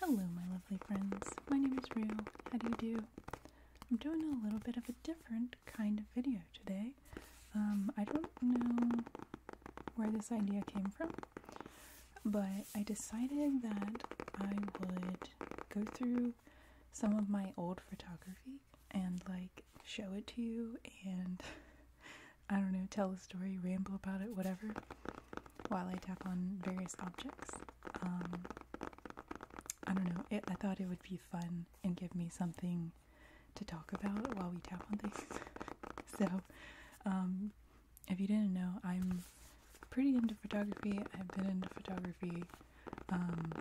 Hello, my lovely friends. My name is Rue. How do you do? I'm doing a little bit of a different kind of video today. Um, I don't know where this idea came from, but I decided that I would go through some of my old photography and like show it to you and I don't know, tell a story, ramble about it, whatever while I tap on various objects. Um, I don't know, I thought it would be fun and give me something to talk about while we tap on things. so, um, if you didn't know, I'm pretty into photography. I've been into photography um,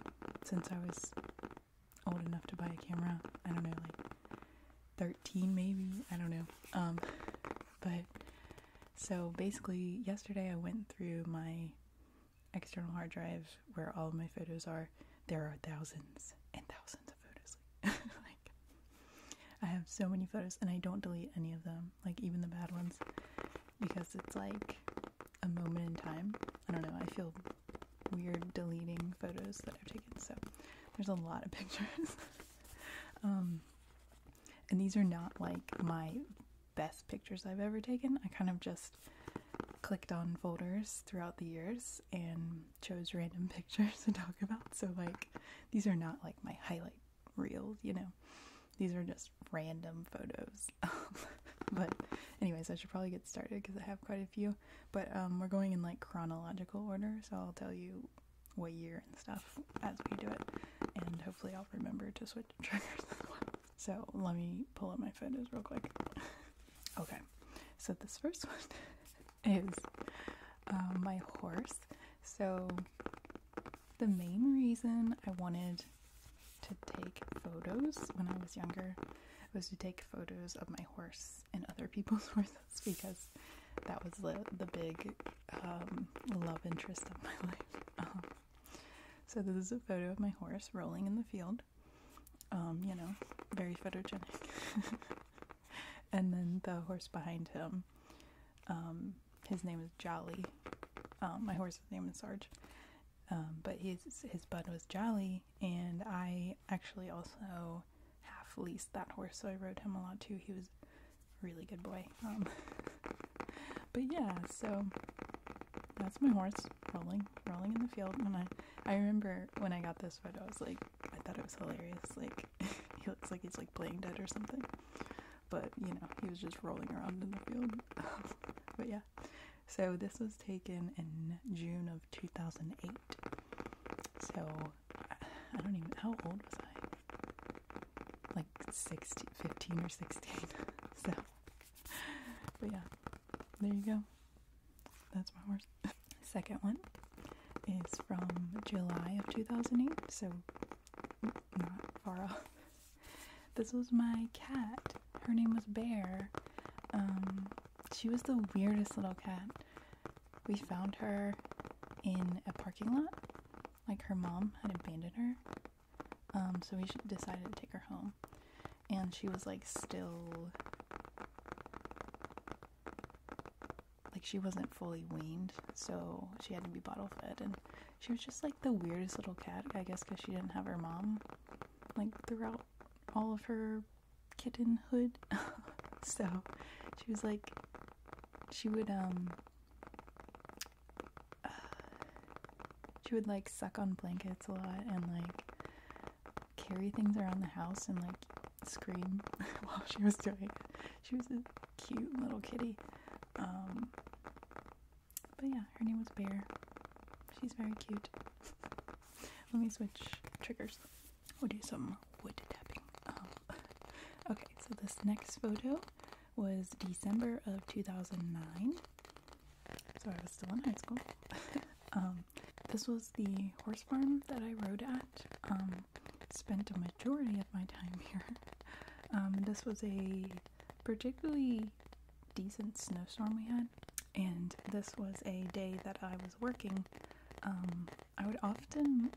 since I was old enough to buy a camera. I don't know, like 13 maybe. I don't know. but so basically, yesterday I went through my external hard drive where all my photos are. There are thousands and thousands of photos. like, I have so many photos, and I don't delete any of them, like, even the bad ones, because it's like a moment in time. I don't know, I feel weird deleting photos that I've taken, so there's a lot of pictures. Um, and these are not like my best pictures I've ever taken. I kind of just clicked on folders throughout the years and chose random pictures to talk about. So, like, these are not like my highlight reels, you know. These are just random photos. but, anyways, I should probably get started because I have quite a few. But um, we're going in like chronological order, so I'll tell you what year and stuff as we do it. And hopefully I'll remember to switch triggers So let me pull up my photos real quick. okay, so this first one is um, my horse. So the main reason I wanted to take photos when I was younger was to take photos of my horse and other people's horses because that was the the big um, love interest of my life. Um, so this is a photo of my horse rolling in the field. Um, you know, very photogenic. and then the horse behind him, his name is Jolly. my horse's name is Sarge. but his his bud was Jolly, and I actually also half leased that horse, so I rode him a lot too. He was a really good boy. Um, but yeah, so that's my horse rolling, rolling in the field. And I, I remember when I got this photo, I was like, I thought it was hilarious. Like, he looks like he's like playing dead or something. But you know, he was just rolling around in the field. but yeah, so this was taken in June of 2008. So I don't even. How old was I? Like 16, or 16. so, but yeah, there you go. That's my worst. Second one is from July of 2008, so not far off. This was my cat. Her name was Bear. Um, she was the weirdest little cat we found her in a parking lot. Like her mom had abandoned her. Um, so we decided to take her home. And she was like still. Like she wasn't fully weaned, so she had to be bottle fed. And she was just like the weirdest little cat, I guess, because she didn't have her mom like throughout all of her kittenhood. so she was like she would um she would like suck on blankets a lot and like carry things around the house and like scream while she was doing it. She was a cute little kitty. Um but yeah, her name was Bear. She's very cute. Let me switch triggers. We'll do some wood tapping. Um, okay, so this next photo was December of 2009. So I was still in high school. um, this was the horse farm that I rode at. Um, spent a majority of my time here. Um, this was a particularly decent snowstorm we had, and this was a day that I was working. Um, I would often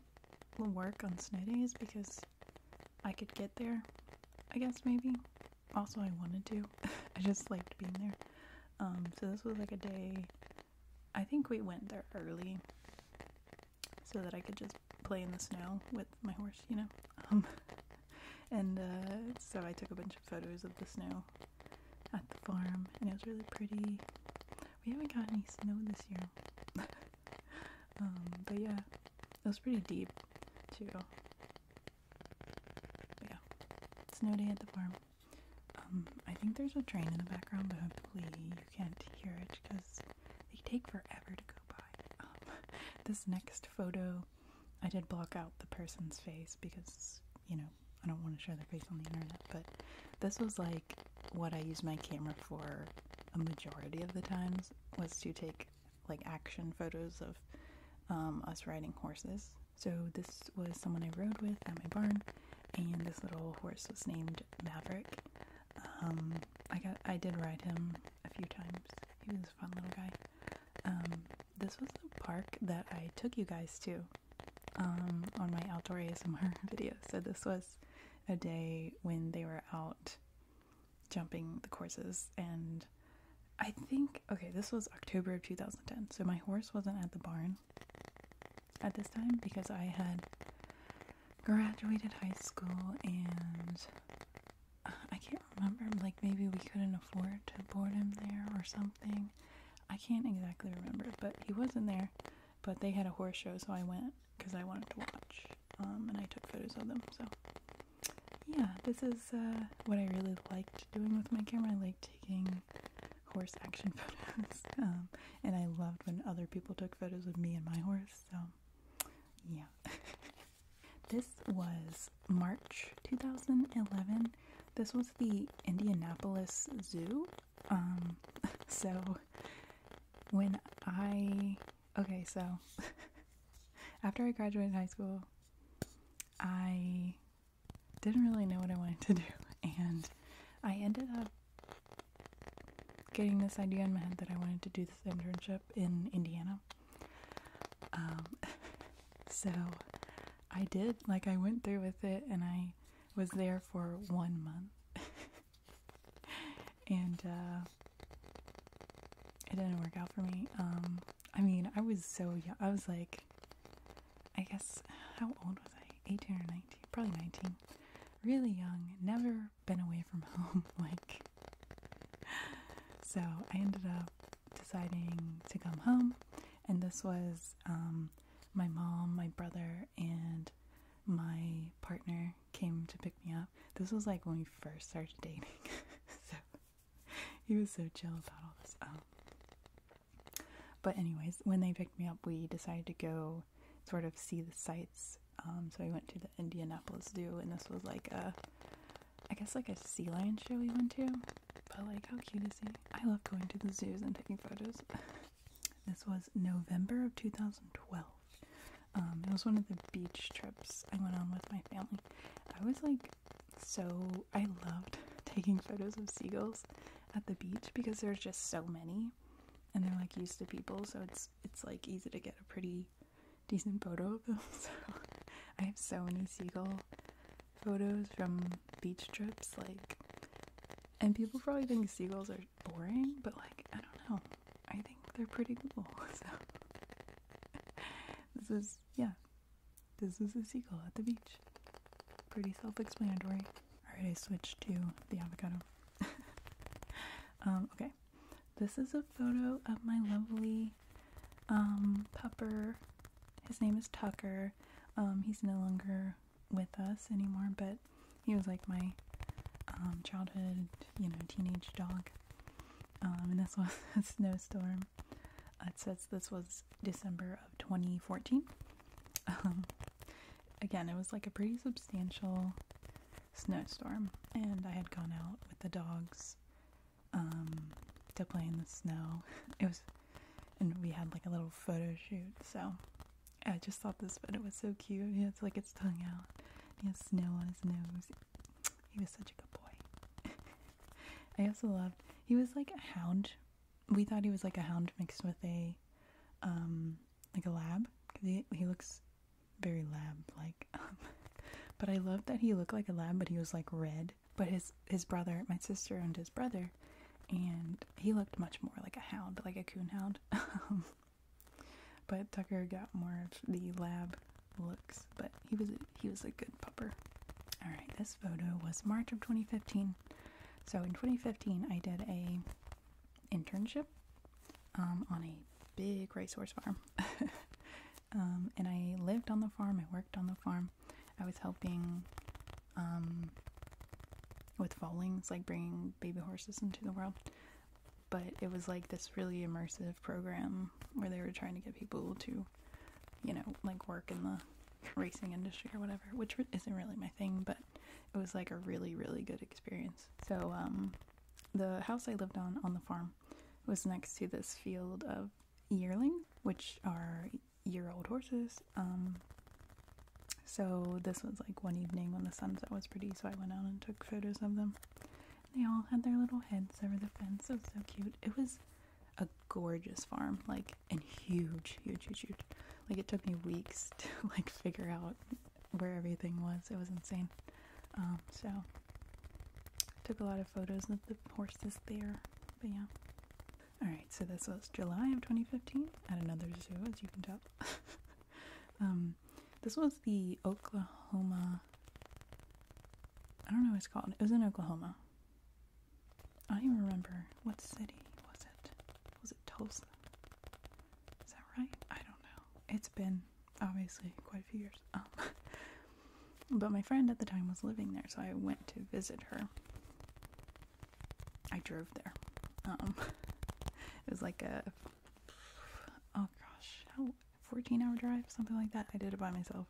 work on snow days because I could get there, I guess maybe. Also, I wanted to. I just liked being there. Um, so this was like a day. I think we went there early so that I could just play in the snow with my horse, you know. Um, and uh, so I took a bunch of photos of the snow at the farm, and it was really pretty. We haven't got any snow this year. Um, but yeah, it was pretty deep too. But yeah, snow day at the farm. Um, I think there's a train in the background, but hopefully you can't hear it because they take forever to go by. Um, this next photo, I did block out the person's face because, you know, I don't want to show their face on the internet, but this was like what I use my camera for a majority of the times was to take like action photos of um, us riding horses. So this was someone I rode with at my barn, and this little horse was named Maverick. Um, I got I did ride him a few times. He was a fun little guy. Um, this was the park that I took you guys to um, on my outdoor ASMR video. So this was a day when they were out jumping the courses and I think okay, this was October of 2010. So my horse wasn't at the barn at this time because I had graduated high school and uh, I can't remember like maybe we couldn't afford to board him there or something. I can't exactly remember, but he wasn't there but they had a horse show, so I went because I wanted to watch, um, and I took photos of them. So yeah, this is uh, what I really liked doing with my camera. I like taking horse action photos, um, and I loved when other people took photos of me and my horse. So yeah. this was March 2011. This was the Indianapolis Zoo um, so when I okay, so after I graduated high school, I didn't really know what I wanted to do, and I ended up getting this idea in my head that I wanted to do this internship in Indiana. Um, so I did, like, I went through with it and I was there for one month and uh, it didn't work out for me um i mean i was so young i was like i guess how old was i 18 or 19 probably 19 really young never been away from home like so i ended up deciding to come home and this was um my mom, my brother, and my partner came to pick me up. This was like when we first started dating, so he was so chill about all this. but anyways, when they picked me up, we decided to go sort of see the sights. Um, so we went to the Indianapolis Zoo, and this was like a, I guess like a sea lion show we went to. But like, how cute is he? I love going to the zoos and taking photos. This was November of 2012. Um, it was one of the beach trips I went on with my family. I was like so I loved taking photos of seagulls at the beach because there's just so many and they're like used to people so it's it's like easy to get a pretty decent photo of them so I have so many seagull photos from beach trips, like, and people probably think seagulls are boring, but like, I don't know. I think they're pretty cool. So, this is, yeah, this is a seagull at the beach. Pretty self explanatory. Alright, I switched to the avocado. Um, okay, this is a photo of my lovely um, pupper. His name is Tucker. Um, he's no longer with us anymore, but he was like my um, childhood, you know, teenage dog. Um, and this was a snowstorm. Uh, it says this was December of 2014. Um, again, it was like a pretty substantial snowstorm, and I had gone out with the dogs to play in the snow. It was, and we had like a little photo shoot, so I just thought this photo was so cute. He has like its tongue out. He has snow on his nose. He was such a good boy. I also loved he was like a hound. We thought he was like a hound mixed with a um like a lab he he looks very lab like. but I loved that he looked like a lab, but he was like red. But his his brother, my sister, and his brother and he looked much more like a hound, like a coon hound. Um, but Tucker got more of the lab looks, but he was a, he was a good pupper. All right, this photo was March of 2015. So in 2015, I did a internship um, on a big horse farm, um, and I lived on the farm. I worked on the farm, I was helping um, with foalings, like bringing baby horses into the world. But it was like this really immersive program where they were trying to get people to, you know, like work in the racing industry or whatever, which isn't really my thing, but it was like a really, really good experience. So, um, the house I lived on on the farm was next to this field of yearlings, which are year old horses. Um, so this was like one evening when the sunset was pretty, so I went out and took photos of them. They all had their little heads over the fence. It so cute. It was a gorgeous farm, like and huge, huge, huge, huge. Like it took me weeks to like figure out where everything was. It was insane. Um, so took a lot of photos of the horses there. But yeah. Alright, so this was July of 2015 at another zoo, as you can tell. um, this was the Oklahoma. I don't know what it's called. It was in Oklahoma. I don't even remember. What city was it? Was it Tulsa? Is that right? I don't know. It's been obviously quite a few years. Um, but my friend at the time was living there, so I went to visit her. I drove there. Um, it was like a oh gosh, 14 hour drive, something like that. I did it by myself.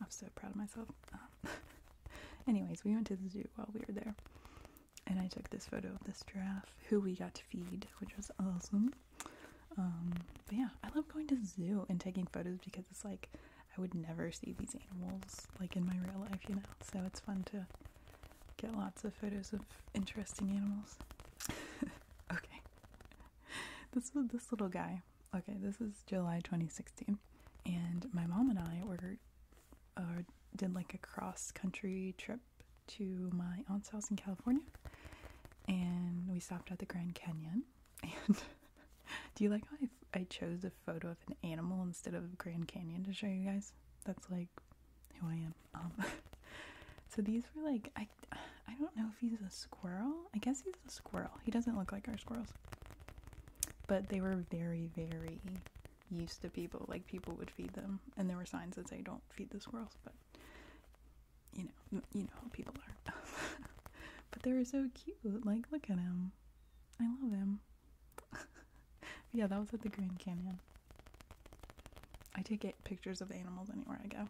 I'm so proud of myself. Um, anyways, we went to the zoo while we were there, and I took this photo of this giraffe who we got to feed, which was awesome. Um, but yeah, I love going to zoo and taking photos because it's like I would never see these animals like in my real life, you know. So it's fun to get lots of photos of interesting animals. okay. This was this little guy. Okay, this is July 2016 and my mom and I ordered or uh, did like a cross country trip to my aunt's house in California and we stopped at the Grand Canyon and Do you like how I, chose a photo of an animal instead of Grand Canyon to show you guys? That's like who I am. Um, so these were like I I don't know if he's a squirrel. I guess he's a squirrel. He doesn't look like our squirrels. But they were very very used to people. Like people would feed them, and there were signs that say don't feed the squirrels. But you know you know how people are. but they were so cute. Like look at him. I love him. yeah, that was at the Grand Canyon. I take get pictures of animals anywhere I go.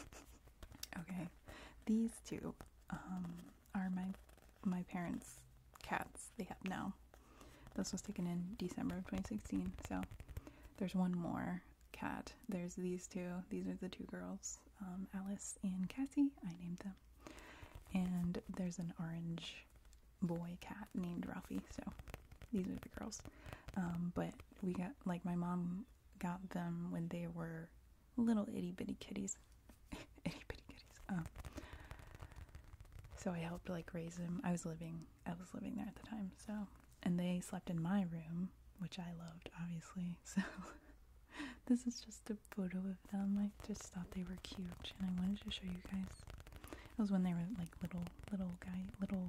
okay, these two um, are my my parents' cats they have now. This was taken in December of 2016, so there's one more cat. There's these two. These are the two girls. Um, Alice and Cassie, I named them. And there's an orange boy cat named Ralphie, so these are the girls. Um, but we got, like, my mom got them when they were little itty bitty kitties. itty bitty kitties. Um, so I helped, like, raise them. I was living, I was living there at the time, so. And they slept in my room, which I loved, obviously, so. this is just photo of them. I just thought they were cute, and I wanted to show you guys. It was when they were like little, little guy, little,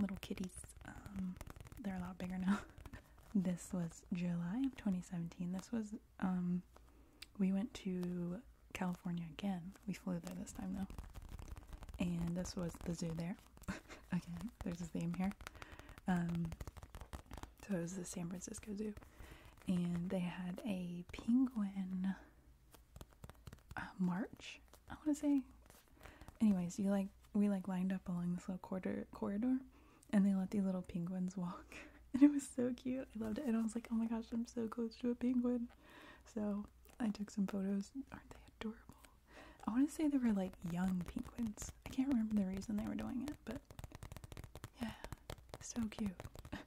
little kitties. Um, they're a lot bigger now. this was July of 2017. This was um, we went to California again. We flew there this time though, and this was the zoo there. again, there's a theme here. Um, so it was the San Francisco Zoo. And they had a penguin uh, march, I want to say. Anyways, you like we like lined up along this little corridor, corridor and they let these little penguins walk. And it was so cute. I loved it. And I was like, oh my gosh, I'm so close to a penguin. So I took some photos. Aren't they adorable? I want to say they were like young penguins. I can't remember the reason they were doing it, but yeah, so cute.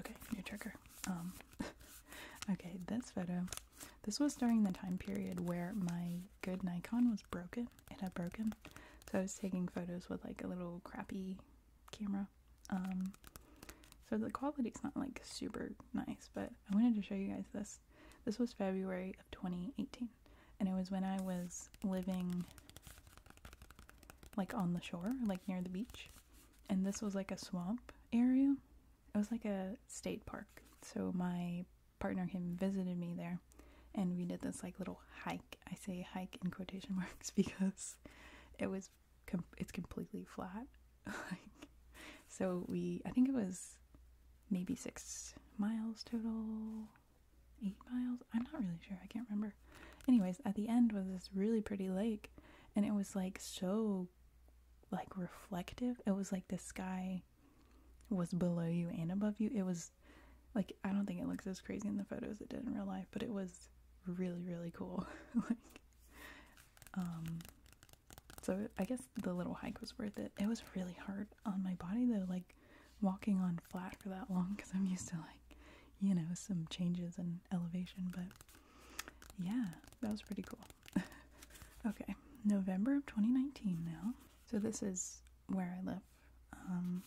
okay, new trigger. Um, okay, this photo. This was during the time period where my good Nikon was broken. It had broken. So I was taking photos with like a little crappy camera. Um, so the quality's not like super nice, but I wanted to show you guys this. This was February of 2018 and it was when I was living like on the shore, like near the beach. And this was like a swamp area. It was like a state park. So my partner came visited me there and we did this like little hike. I say hike in quotation marks because it was it's completely flat. like so we I think it was maybe 6 miles total eight miles. I'm not really sure. I can't remember. Anyways, at the end was this really pretty lake, and it was like so, like reflective. It was like the sky was below you and above you. It was like I don't think it looks as crazy in the photos it did in real life, but it was really really cool. like, um, so I guess the little hike was worth it. It was really hard on my body though. Like walking on flat for that long because I'm used to like, you know, some changes in elevation, but yeah, that was pretty cool. okay, November of 2019 now. So this is where I live. Um,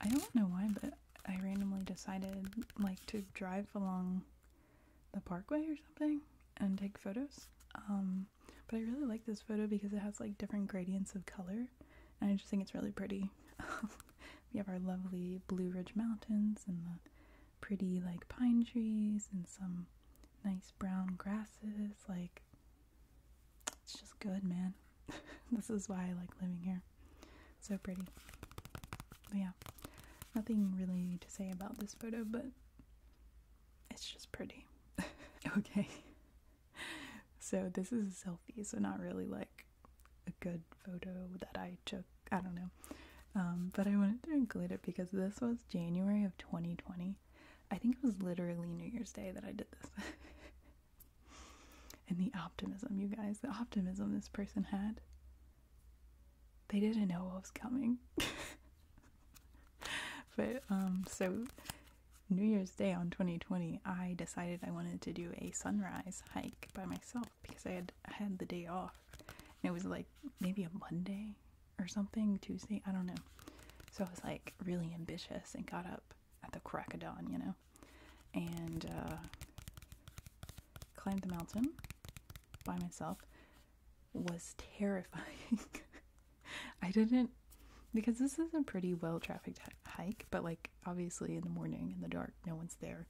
I don't know why, but I randomly decided like to drive along the parkway or something and take photos. Um, but I really like this photo because it has like different gradients of color, and I just think it's really pretty. we have our lovely Blue Ridge Mountains and the pretty like pine trees and some nice brown grasses. Like, it's just good, man. this is why I like living here. So pretty. But yeah, nothing really to say about this photo, but it's just pretty. okay so this is a selfie, so not really like a good photo that I took. I don't know. Um, but I wanted to include it because this was January of 2020. I think it was literally New Year's Day that I did this. and the optimism, you guys, the optimism this person had. They didn't know what was coming. but um, so New Year's Day on 2020, I decided I wanted to do a sunrise hike by myself because I had had the day off. And it was like maybe a Monday or something, Tuesday, I don't know. So I was like really ambitious and got up at the crack of dawn, you know, and uh, climbed the mountain by myself. Was terrifying. I didn't because this is a pretty well trafficked hike, but like obviously in the morning in the dark, no one's there.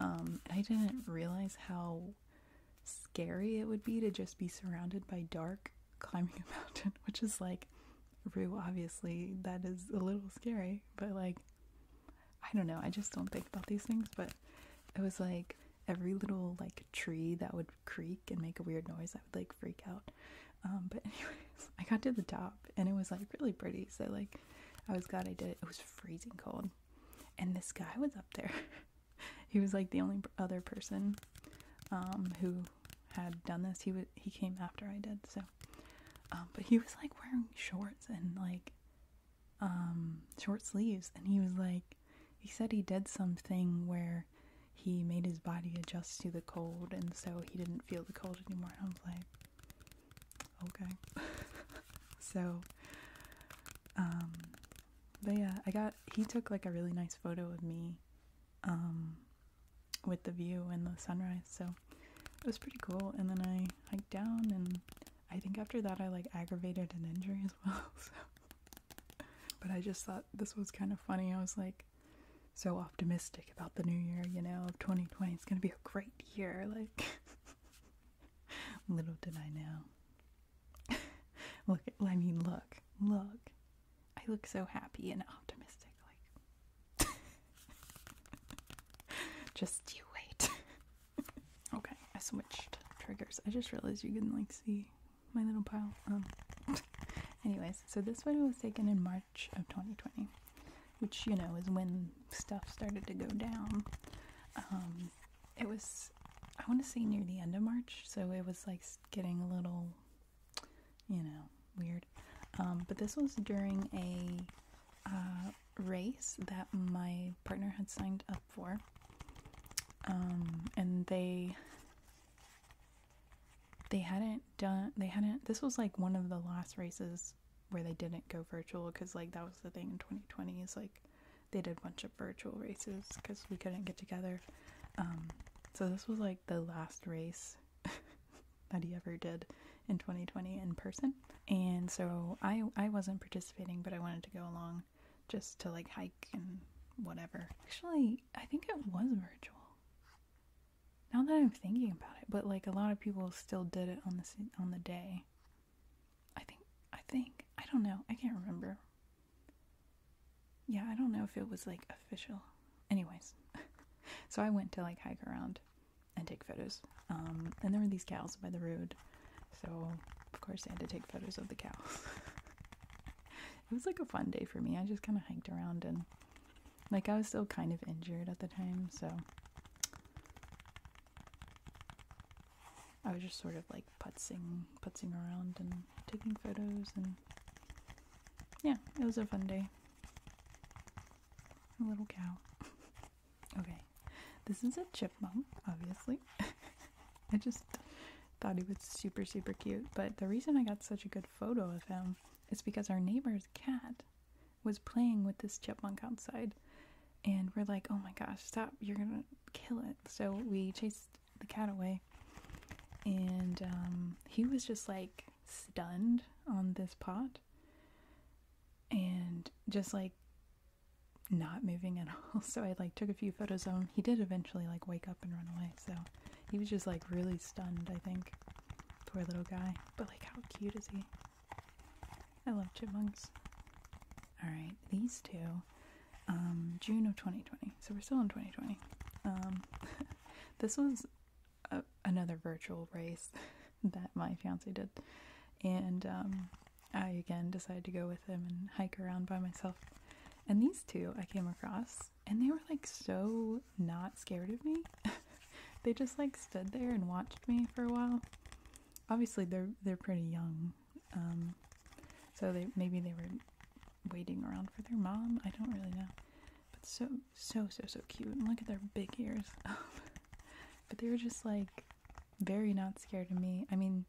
Um, I didn't realize how scary it would be to just be surrounded by dark climbing a mountain, which is like Rue, obviously, that is a little scary, but like, I don't know, I just don't think about these things. But it was like every little like tree that would creak and make a weird noise. I would like freak out. Um, but anyways, I got to the top and it was like really pretty. So like, I was glad I did it. It was freezing cold, and this guy was up there. he was like the only other person um, who had done this. He was he came after I did. So, um, but he was like wearing shorts and like short sleeves, and he was like, he said he did something where he made his body adjust to the cold, and so he didn't feel the cold anymore. And I was like, okay. so, um, but yeah, I got, he took like a really nice photo of me, um, with the view and the sunrise. So it was pretty cool. And then I hiked down, and I think after that, I like aggravated an injury as well. So. But I just thought this was kind of funny. I was like, so optimistic about the new year, you know, of 2020. It's gonna be a great year. Like, little did I know. look, I mean, look, look. I look so happy and optimistic. Like, just you wait. okay, I switched triggers. I just realized you can like see my little pile. Um, anyways, so this photo was taken in March of 2020, which you know is when stuff started to go down. Um, it was, I want to say, near the end of March, so it was like getting a little, you know, weird. Um, but this was during a uh, race that my partner had signed up for. and they they hadn't done they hadn't this was like one of the last races where they didn't go virtual because like that was the thing in 2020 is like they did a bunch of virtual races because we couldn't get together um, so this was like the last race that he ever did in 2020 in person and so i i wasn't participating but i wanted to go along just to like hike and whatever actually I think it was virtual. Now that I'm thinking about it, but like a lot of people still did it on the on the day. I think I think I don't know. I can't remember. Yeah, I don't know if it was like official. Anyways, so I went to like hike around and take photos. Um, and there were these cows by the road, so of course I had to take photos of the cows. it was like a fun day for me. I just kind of hiked around and like I was still kind of injured at the time, so I was just sort of like putzing, putzing around and taking photos, and yeah, it was a fun day. A little cow. okay, this is a chipmunk, obviously. I just thought he was super, super cute. But the reason I got such a good photo of him is because our neighbor's cat was playing with this chipmunk outside. And we're like, oh my gosh, stop, you're gonna kill it. So we chased the cat away. And um, he was just like stunned on this pot and just like not moving at all. So I like took a few photos of him he did eventually like wake up and run away, so he was just like really stunned, I think. Poor little guy. But like how cute is he? I love chipmunks. Alright, these two. Um, June of 2020. So we're still in 2020. Um, this was another virtual race that my fiance did. And um, I again decided to go with him and hike around by myself. And these two I came across, and they were like so not scared of me. they just like stood there and watched me for a while. Obviously, they're they're pretty young, um, so they maybe they were waiting around for their mom. I don't really know, but so so so so cute. look at their big ears. but they were just like very not scared of me. I mean,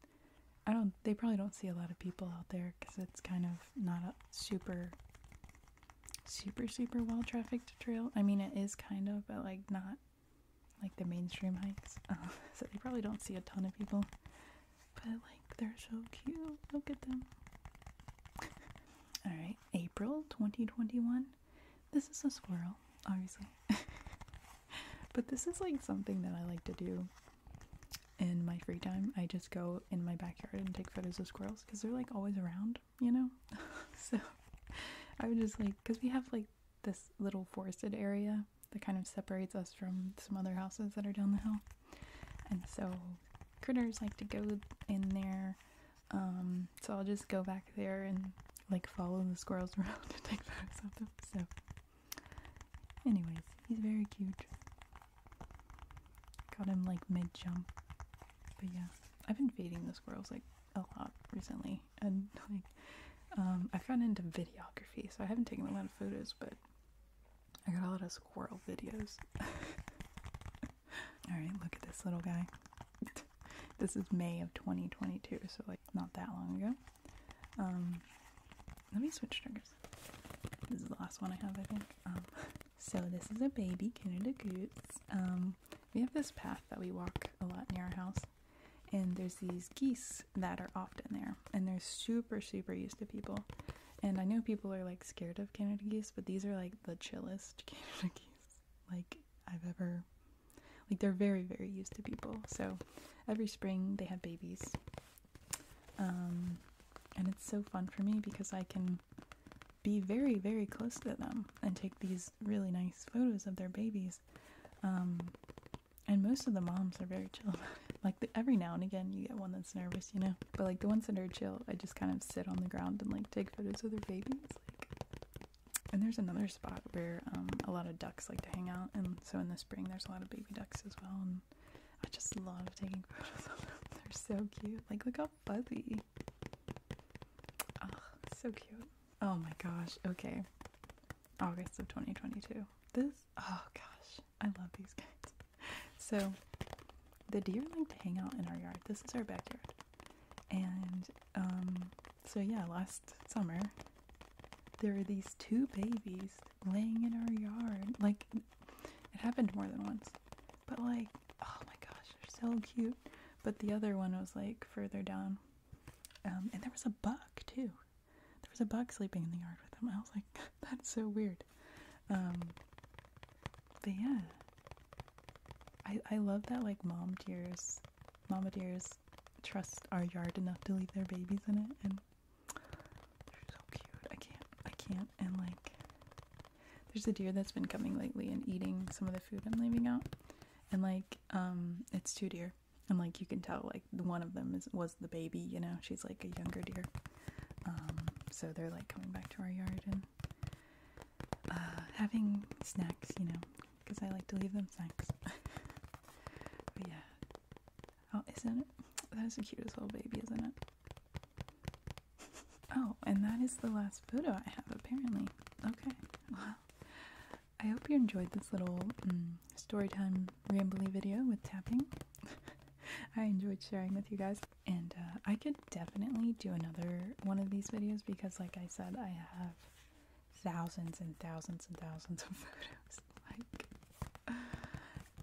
I don't. They probably don't see a lot of people out there because it's kind of not a super, super, super well trafficked trail. I mean, it is kind of, but like not like the mainstream hikes. so they probably don't see a ton of people. But like, they're so cute. Look at them. All right, April 2021. This is a squirrel, obviously. but this is like something that I like to do in my free time, I just go in my backyard and take photos of squirrels because they're like always around, you know? so I would just like, because we have like this little forested area that kind of separates us from some other houses that are down the hill. And so critters like to go in there. Um, so I'll just go back there and like follow the squirrels around and take photos of them. So Anyways, he's very cute. Got him like mid jump. But yeah, I've been feeding the squirrels like a lot recently, and like um, I've gotten into videography, so I haven't taken a lot of photos, but I got a lot of squirrel videos. All right, look at this little guy. this is May of 2022, so like not that long ago. Um, let me switch triggers. This is the last one I have, I think. Um, so this is a baby Canada goose. Um, we have this path that we walk a lot near our house, and there's these geese that are often there, and they're super, super used to people. And I know people are like scared of Canada geese, but these are like the chillest Canada geese like I've ever. Like they're very, very used to people. So every spring they have babies, um, and it's so fun for me because I can be very, very close to them and take these really nice photos of their babies. Um, and most of the moms are very chill Like every now and again, you get one that's nervous, you know. But like the ones that are chill, I just kind of sit on the ground and like take photos of their babies. and there's another spot where um, a lot of ducks like to hang out, and so in the spring, there's a lot of baby ducks as well. I just love taking photos of them. They're so cute. Like, look how fuzzy. Oh, so cute. Oh my gosh. Okay. August of 2022. This, oh gosh, I love these guys. So, the deer like to hang out in our yard. This is our backyard. And, um, so yeah, last summer there are these two babies laying in our yard. Like, it happened more than once. But, like, oh my gosh, they're so cute. But the other one was, like, further down. Um, and there was a buck, too. There was a buck sleeping in the yard with them. I was like, that's so weird. Um, but yeah. I, I love that, like, mom deers, mama deers trust our yard enough to leave their babies in it. And they're so cute. I can't. I can't. And like, there's a deer that's been coming lately and eating some of the food I'm leaving out. And like, um, it's two deer. And like, you can tell like one of them is was the baby. You know, she's like a younger deer. Um, so they're like coming back to our yard and uh, having snacks. You know, because I like to leave them snacks. yeah, Oh, isn't it? That is the cutest little baby, isn't it? Oh, and that is the last photo I have, apparently. Okay, well, I hope you enjoyed this little um, mm, storytime rambly video with tapping. I enjoyed sharing with you guys, and uh, I could definitely do another one of these videos because, like I said, I have thousands and thousands and thousands of photos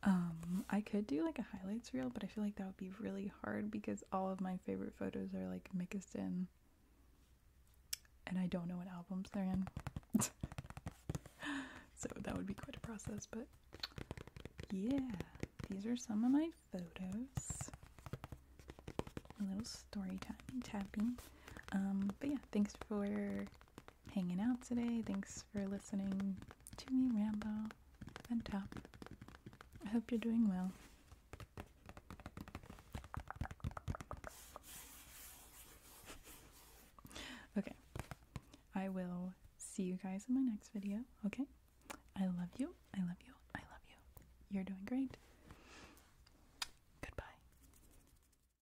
um i could do like a highlights reel but i feel like that would be really hard because all of my favorite photos are like mixed in and i don't know what albums they're in so that would be quite a process but yeah these are some of my photos a little story time tapping um but yeah thanks for hanging out today. Thanks for listening to me, Rambo and Top. I hope you're doing well. Okay, I will see you guys in my next video, okay? I love you, I love you, I love you. You're doing great. Goodbye.